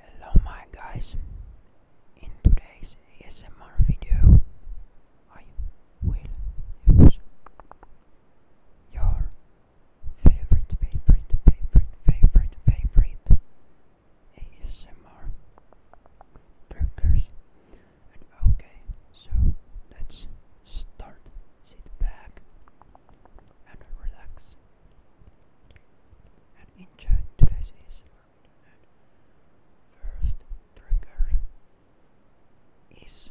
Hello my guys, in today's ASMR video I will use your favorite, favorite, favorite, favorite, favorite ASMR triggers okay, so let's start, sit back and relax and enjoy today's instrument. First trigger is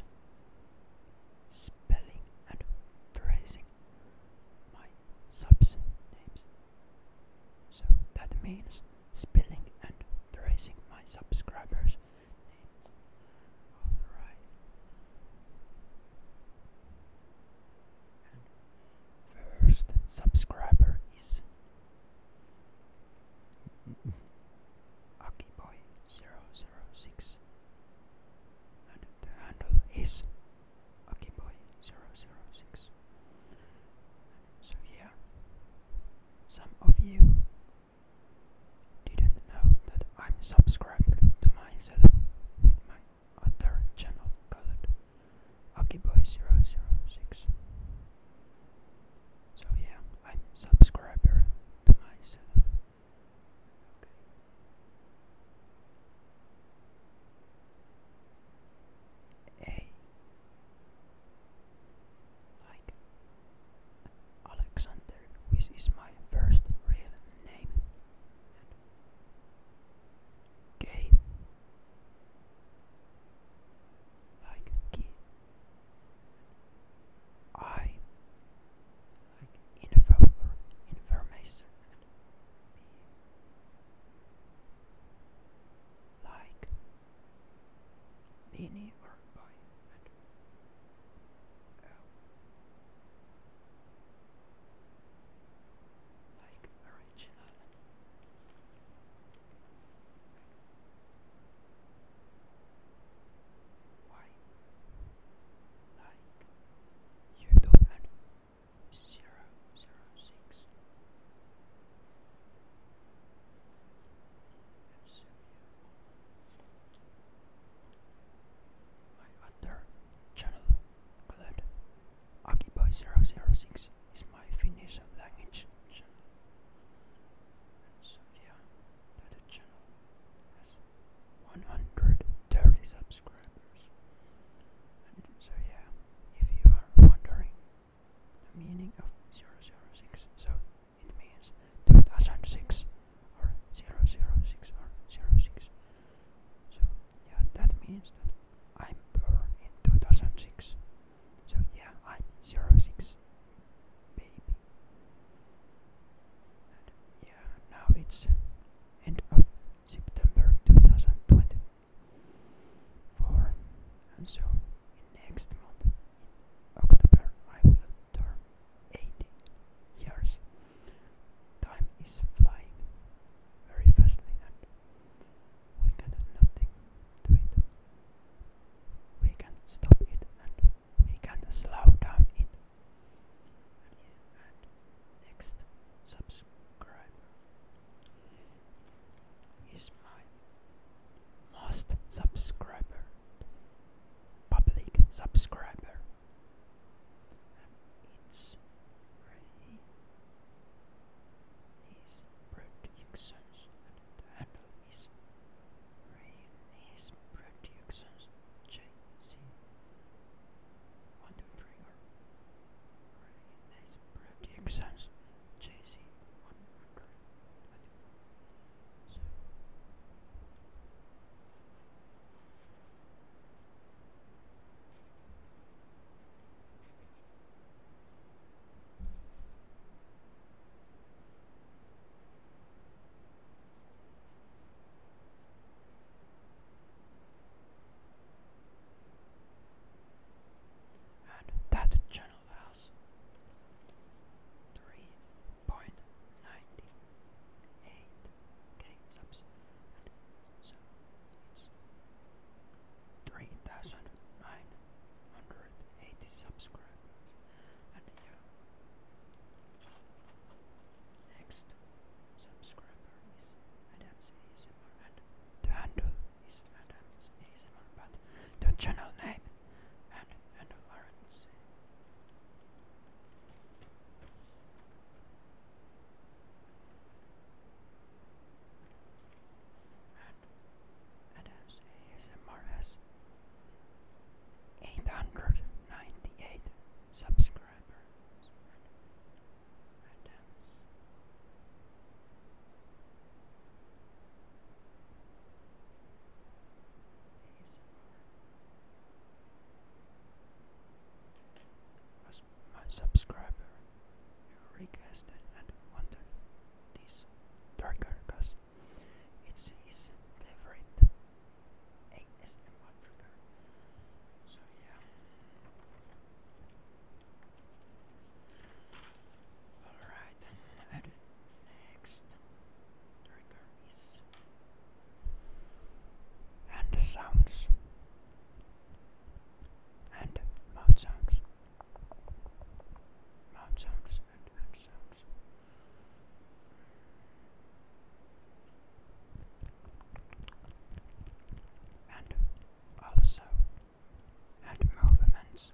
spelling and tracing my subs names. So that means spelling and tracing my subscribers' names. Alright, first subscriber is Akiboy006 and the handle is Akiboy006 so yeah some of you didn't know that I'm subscribed to myself with my other channel called Akiboy006. So yeah, I'm subscriber to my Okay. A like Alexander, which is my first real name. gay, like key. I like info information. Like mini or um, like original. Why? Like you don't know zero zero six. And so you my other channel called Akiboy006 is my Finnish language channel. So yeah, that channel has 130 subscribers. And so yeah, if you are wondering the meaning of 006, so it means 2006 or 006 or 06. So, yeah, that means that I'm born in 2006. So, yeah, I'm 06 baby. yeah, now it's end of September 2024. And so, next month, October, I will turn 80 years. Time is flying very fastly we can nothing to it. We can stop it and we can slow down it. And, next subscriber is my most subscriber public subscriber and its prey. His productions and handle his prey and his JC. One, two, three, or prey his productions JC. One hundred twenty-four. So. And that general house. Three point ninety eight k subs, so three thousand nine hundred eighty subscribers, and yeah. Next subscriber is Adams ASMR and the handle is Adams ASMR but the channel name and the same. And Adams ASMR 898 subscribers. As my subscriber, you requested and wanted this darker cause it's his favorite ASMR So yeah. Alright, next trigger is and sounds and mouth sounds, mouth sounds and hand sounds. And also, and movements,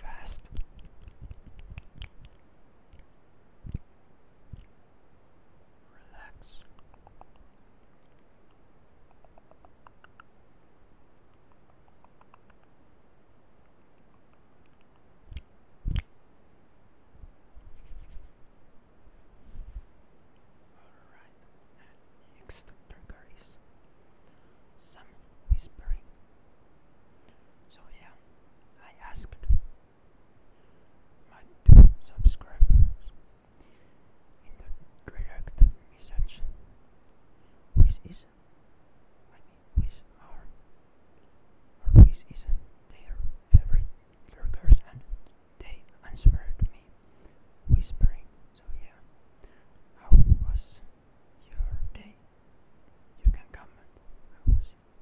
Fast. Relax. Alright, and next trigger some whispering. So, yeah, I asked my subscribers in the direct message which is I mean which are or which is their favorite lurkers and they answered me whispering so yeah how was your day? You can comment how was your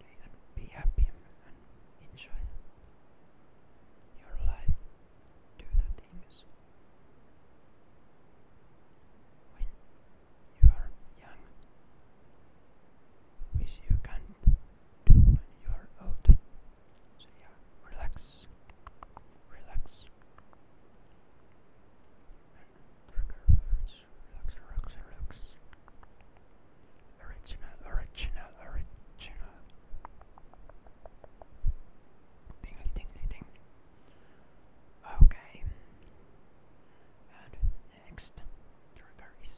day and be happy and enjoy your life, do the things when you are young, which you can't do when you are old. So, yeah, relax, relax. And relax, relax, relax. Original, original, original. Dingly, dingly, ding. Okay. And next trigger is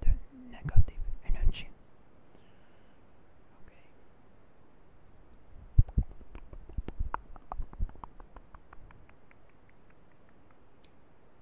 the negative energy. Okay.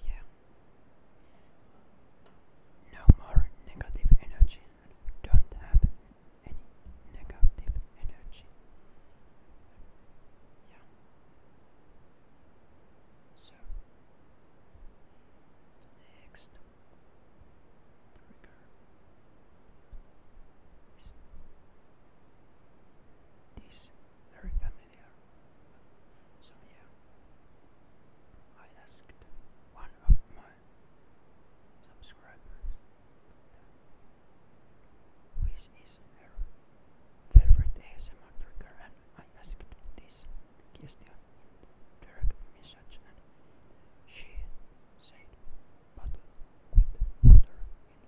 And yeah. No more negative energy. Don't have any negative energy. Yeah. So next, this very familiar? So yeah, I asked one of my subscribers which is her favorite ASMR trigger and I asked this question in direct and she said Bottle with water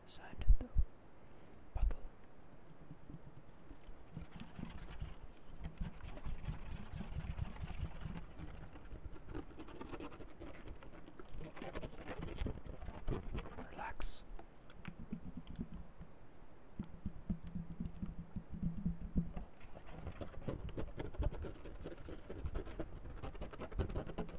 inside the bottle. Relax.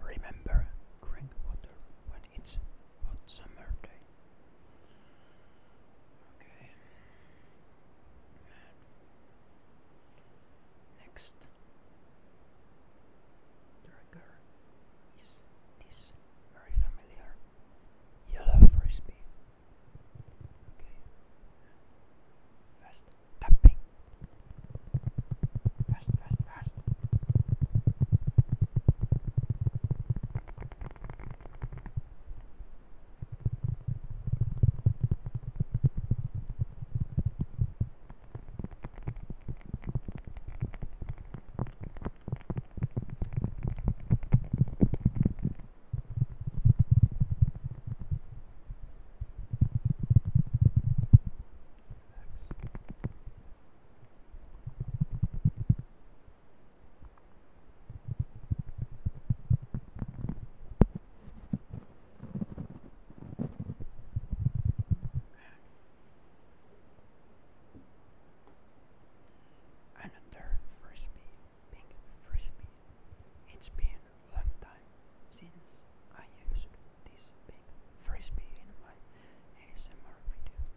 Remember, drink water when it's hot summer day. Okay. Next trigger is this very familiar yellow frisbee. Okay. Fast tapping. Fast, fast, fast. Relax. Another frisbee, pink frisbee. It's been a long time since I used this pink frisbee in my ASMR video.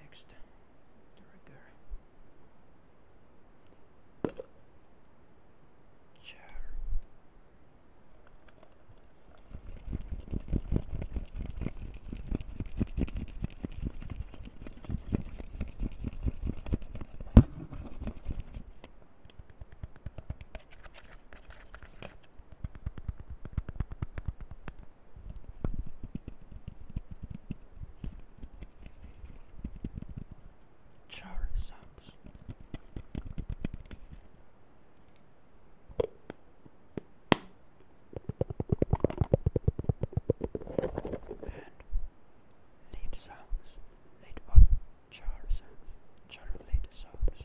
Next, trigger. Chair. Shower And lead sounds, lead or char sounds, char lead sounds.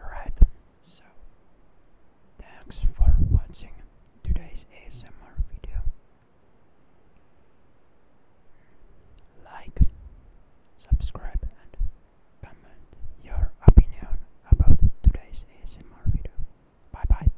Alright, so thanks for watching today's ASMR video. Like, subscribe, and comment your opinion about today's ASMR video. Bye bye.